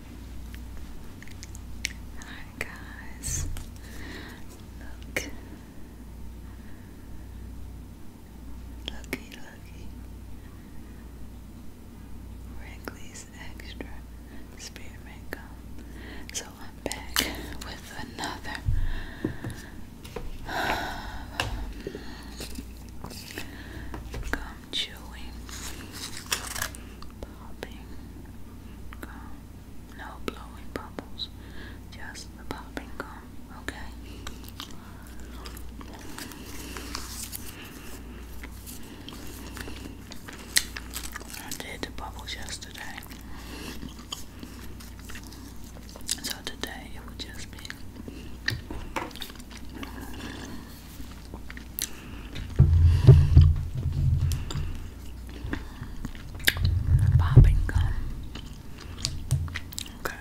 Hi guys, look, looky, looky, Wrigley's Extra Spearmint Gum. So I'm back with another gum chewing, popping, gum, no blowing bubbles, just the popping gum, okay? I did the bubbles yesterday, so today it would just be. Popping gum. Okay.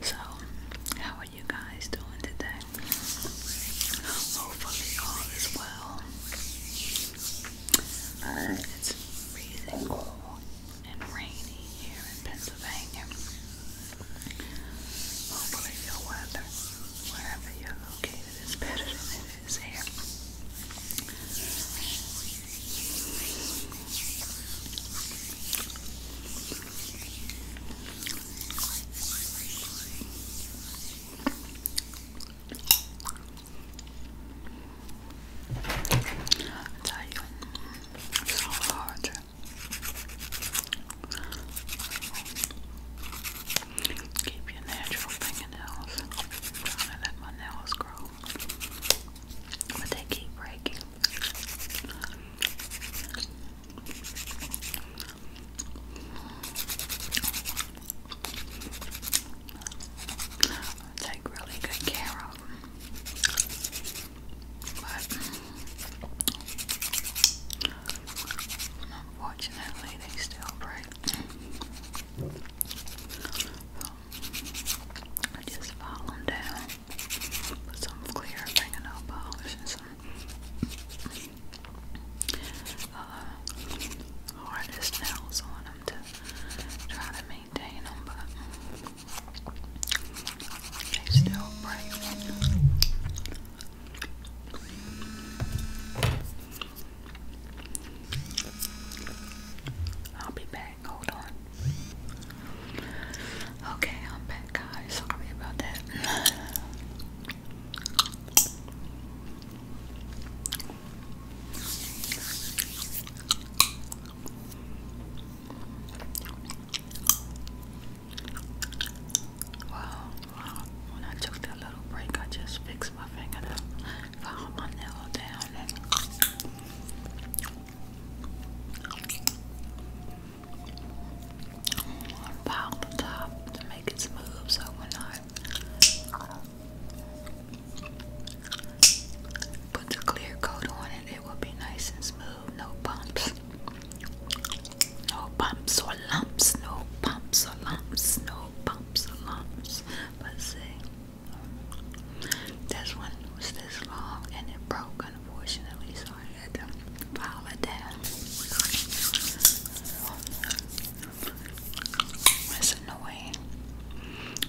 So, how are you guys doing today? Hopefully, all is well. Uh, it's freezing cold and rainy here in Pennsylvania. Hopefully your weather, wherever you're located, is better than it is here. it's so hard Keep your natural fingernails. i let my nails grow. But they keep breaking. Take really good care of but mm, unfortunately, they still break. So, I just file them down with some clear fingernail polish and some uh, hardest nails on them to try to maintain them. They still break. I'll be back. Hold on. Okay, I'm back, guys. Sorry about that. Wow, wow. When I took that little break, I just fixed my fingernail, found my nail down, and piled the top to make it smooth so when I Put the clear coat on it, it will be nice and smooth, no bumps. No bumps or lumps, no bumps or lumps, no bumps or lumps. But see. This one was this long and it broke, unfortunately, so I had to file it down. It's annoying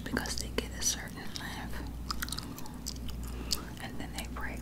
because they get a certain length and then they break.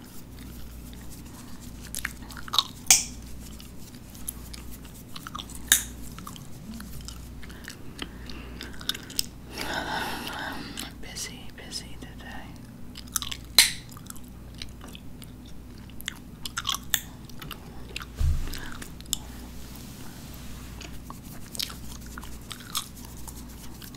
busy, busy today.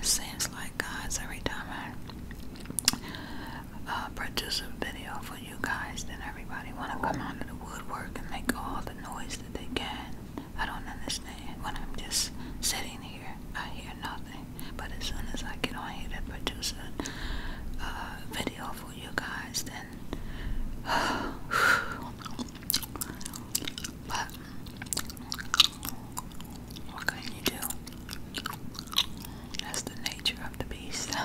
It seems like guys every time I uh, produce a video for you guys, then everybody wanna come out of the woodwork and make all the noise that they can. I don't understand when I'm just sitting here. I hear nothing. But as soon as I get on here to produce a video for you guys, then. what can you do? That's the nature of the beast.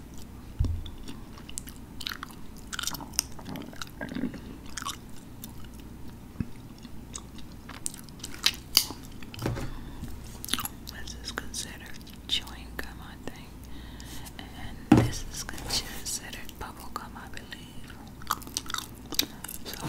This is considered chewing gum, I think, and this is considered bubble gum, I believe. So.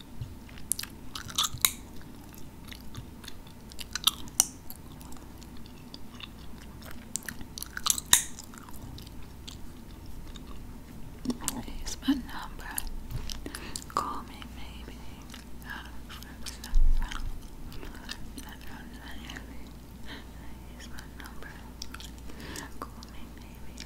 Here's my number. Call me, maybe. Uh, my number. Call me, maybe.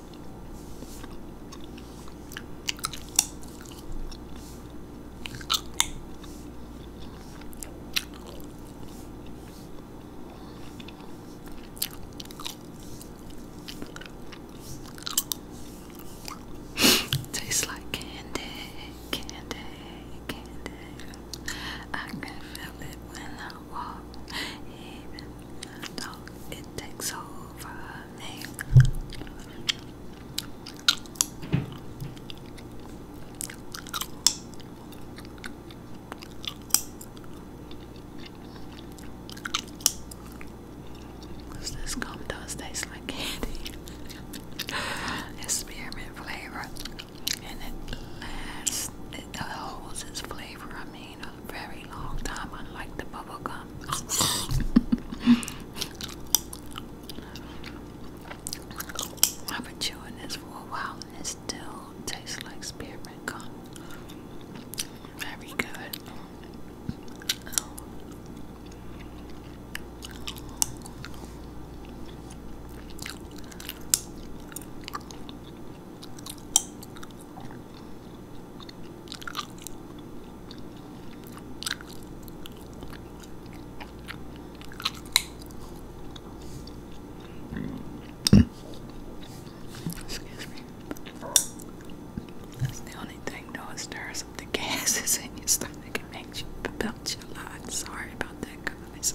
Tastes like candy, candy, candy. I can feel it when I walk, even when It takes over this gum does taste like candy? it's spearmint flavor, and it lasts. It holds its flavor. I mean, very long time, unlike the bubble gum. I've been chewing this for a while and it still tastes like spearmint gum. Very good. Excuse me. That's the only thing though is stirs up the in your stomach and makes you belch a lot. Sorry about that guys.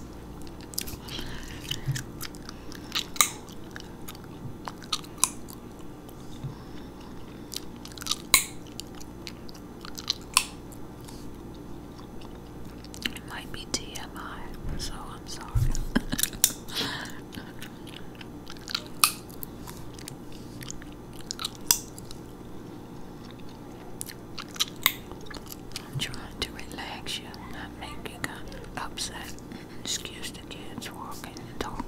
It might be TMI, so I'm sorry. I'm trying to relax you, not make you upset excuse the kids walking and talking.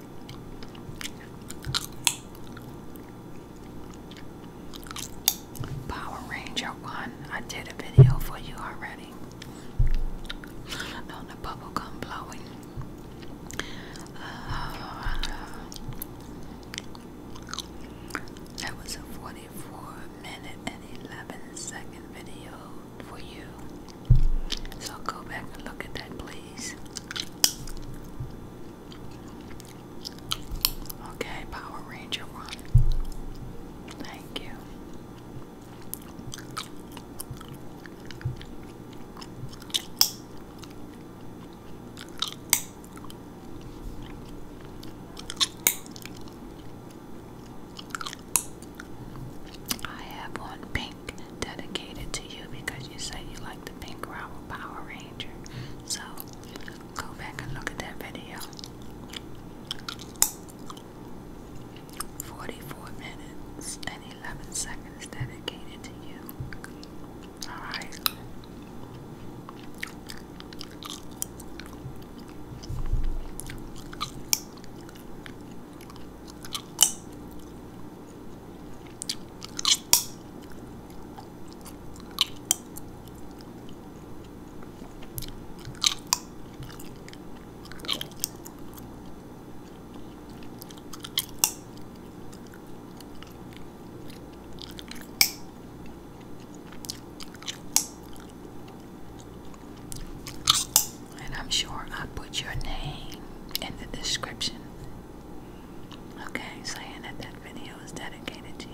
Power Ranger one. I did a video for you already on the bubblegum blowing. Uh, that was a 44 minute and 11 second video for you. So I'll go back and look at that, please. Okay, Power Ranger one. Thank you. I have one pink dedicated to you because you said you like the pink Power Ranger. So go back and look at that video. 44 minutes and 11 seconds dedicated to you. Alright. And I'm sure i put your name in the description Okay, saying that that video is dedicated to you.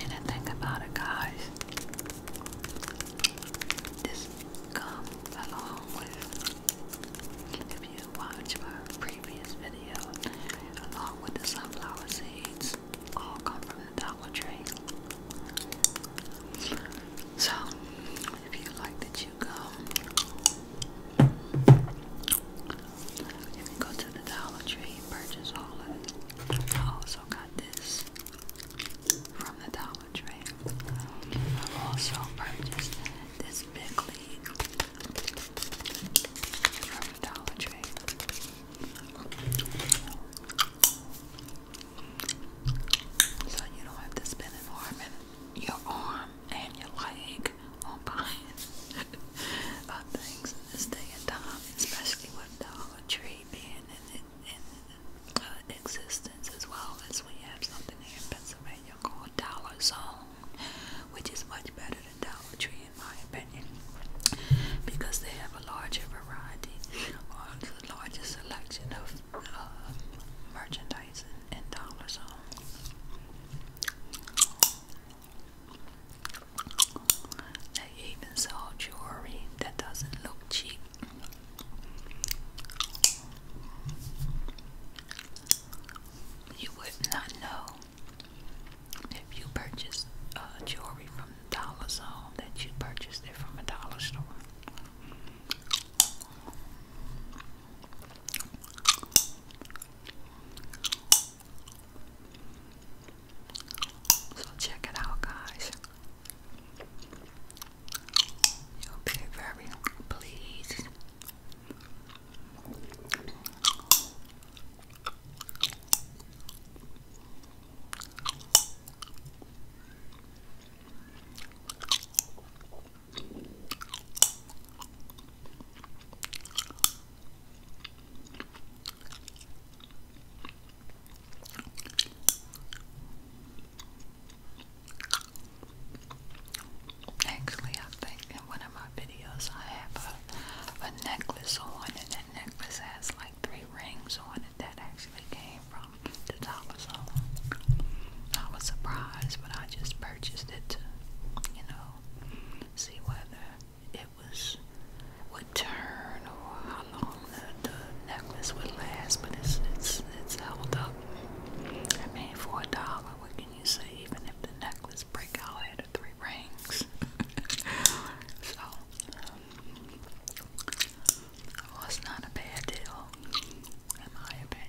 And about it, guys. This comes along with, if you watch my previous video, along with the sunflower seeds, all come from the Dollar Tree. So, if you like the you can go to the Dollar Tree and purchase all of it. I also got this from the Dollar Tree. I've also purchased this big from the Dollar Tree. So you don't have to spend an arm and your arm and your leg on buying things this day and time, especially with Dollar Tree being in, existence as well as we have something here in Pennsylvania called Dollar Zone, which is much better than Dollar Tree in my opinion, because they have a larger variety or larger selection of uh, merchandise and, and dollars on. They even sell jewelry that doesn't look cheap. You would not know if you purchase uh, jewelry from the dollar zone, that you purchased it from a dollar store. So check it out, guys. You'll be very pleased. Actually, I think in one of my videos I have a, a necklace on and that necklace has like three rings on it that actually came from the dollar store. I was surprised but I just purchased it to, you know, see whether it was would turn or how long the, the necklace would last but it's it's it's held up. I mean for a dollar what can you say even if the necklace break out I had three rings. so um, it not a bad deal, in my opinion.